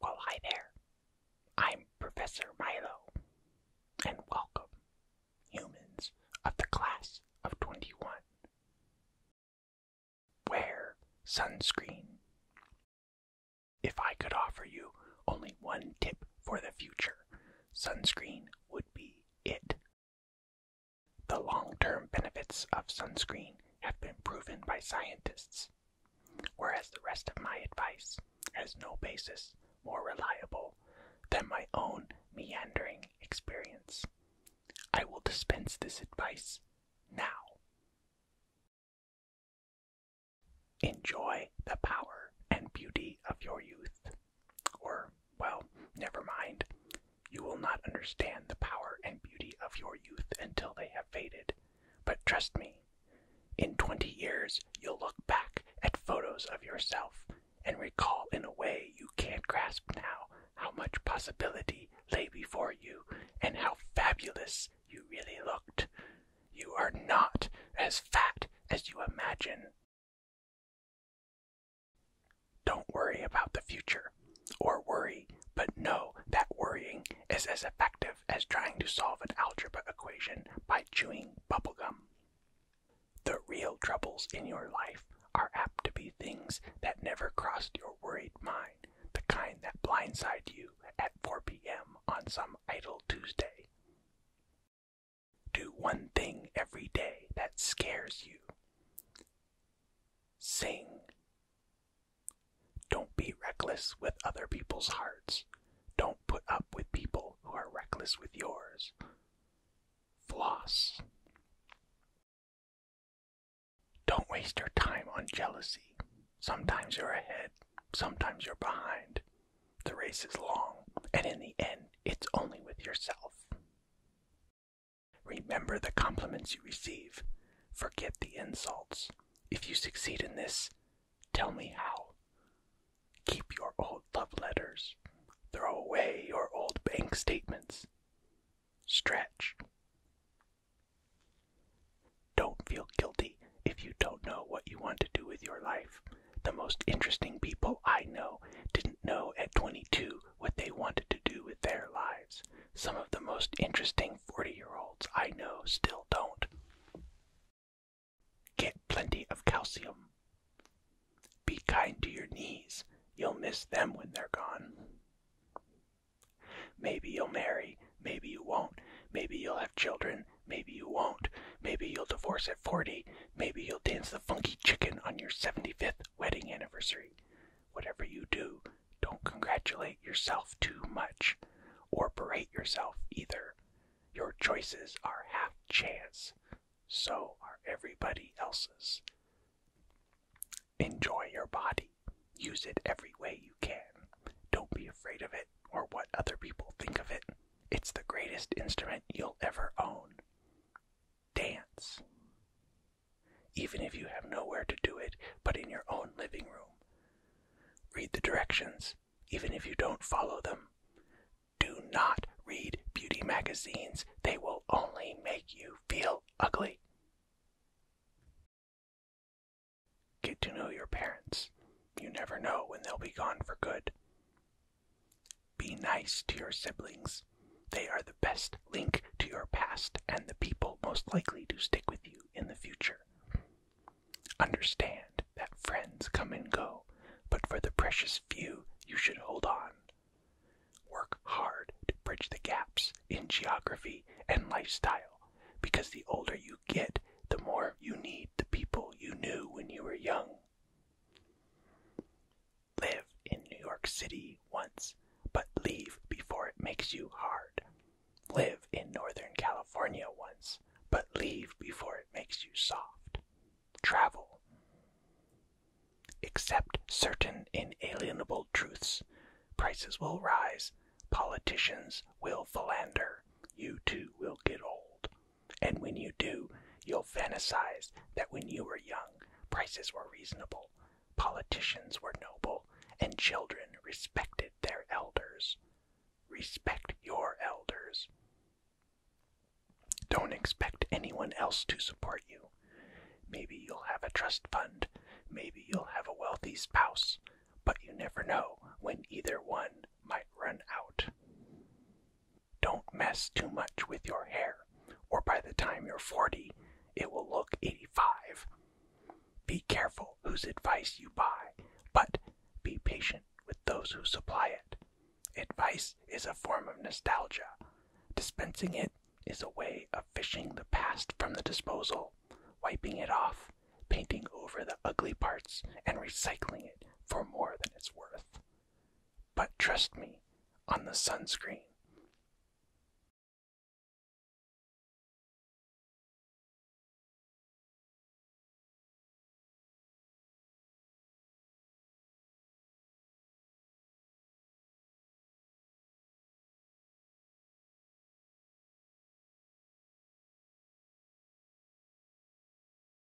Well, hi there. I'm Professor Milo, and welcome, humans of the class of 21. Wear sunscreen. If I could offer you only one tip for the future, sunscreen would be it. The long term benefits of sunscreen have been proven by scientists, whereas the rest of my advice has no basis more reliable than my own meandering experience. I will dispense this advice now. Enjoy the power and beauty of your youth. Or, well, never mind. You will not understand the power and beauty of your youth until they have faded. But trust me, in 20 years, you'll look back at photos of yourself and recall in a way you can't grasp now how much possibility lay before you and how fabulous you really looked. You are not as fat as you imagine. Don't worry about the future, or worry, but know that worrying is as effective as trying to solve an algebra equation by chewing bubblegum. The real troubles in your life are apt to be things that never crossed your worried mind, the kind that blindside you at 4 p.m. on some idle Tuesday. Do one thing every day that scares you. Sing. Don't be reckless with other people's hearts. Don't put up with people who are reckless with yours. Floss. Don't waste your time on jealousy. Sometimes you're ahead, sometimes you're behind. The race is long, and in the end, it's only with yourself. Remember the compliments you receive. Forget the insults. If you succeed in this, tell me how. Keep your old love letters. Throw away your old bank statements. Stretch. Don't feel guilty if you don't know what you want to do with your life, the most interesting people I know didn't know at 22 what they wanted to do with their lives. Some of the most interesting 40 year olds I know still don't. Get plenty of calcium. Be kind to your knees. You'll miss them when they're gone. Maybe you'll marry, maybe you won't, maybe you'll have children, maybe you won't. Maybe you'll divorce at 40, maybe you'll dance the funky chicken on your 75th wedding anniversary. Whatever you do, don't congratulate yourself too much or berate yourself either. Your choices are half chance, so are everybody else's. Enjoy your body. Use it every way you can. Don't be afraid of it or what other people think of it. It's the greatest instrument you'll ever own. Dance. Even if you have nowhere to do it but in your own living room. Read the directions, even if you don't follow them. Do not read beauty magazines, they will only make you feel ugly. Get to know your parents. You never know when they'll be gone for good. Be nice to your siblings. They are the best link to your past and the people most likely to stick with you in the future. Understand that friends come and go, but for the precious few, you should hold on. Work hard to bridge the gaps in geography and lifestyle, because the older you get, the more you need the people you knew when you were young. Live in New York City once, but leave before it makes you hard. Live in Northern California once, but leave before it makes you soft. Travel. Except certain inalienable truths. Prices will rise, politicians will philander, you too will get old. And when you do, you'll fantasize that when you were young, prices were reasonable, politicians were noble, and children respected their elders. Respect your elders. Don't expect anyone else to support you. Maybe you'll have a trust fund, maybe you'll have a wealthy spouse, but you never know when either one might run out. Don't mess too much with your hair, or by the time you're 40, it will look 85. Be careful whose advice you buy, but be patient with those who supply it. Advice is a form of nostalgia. Dispensing it is a way of fishing the past from the disposal, wiping it off, painting over the ugly parts, and recycling it for more than it's worth. But trust me on the sunscreen.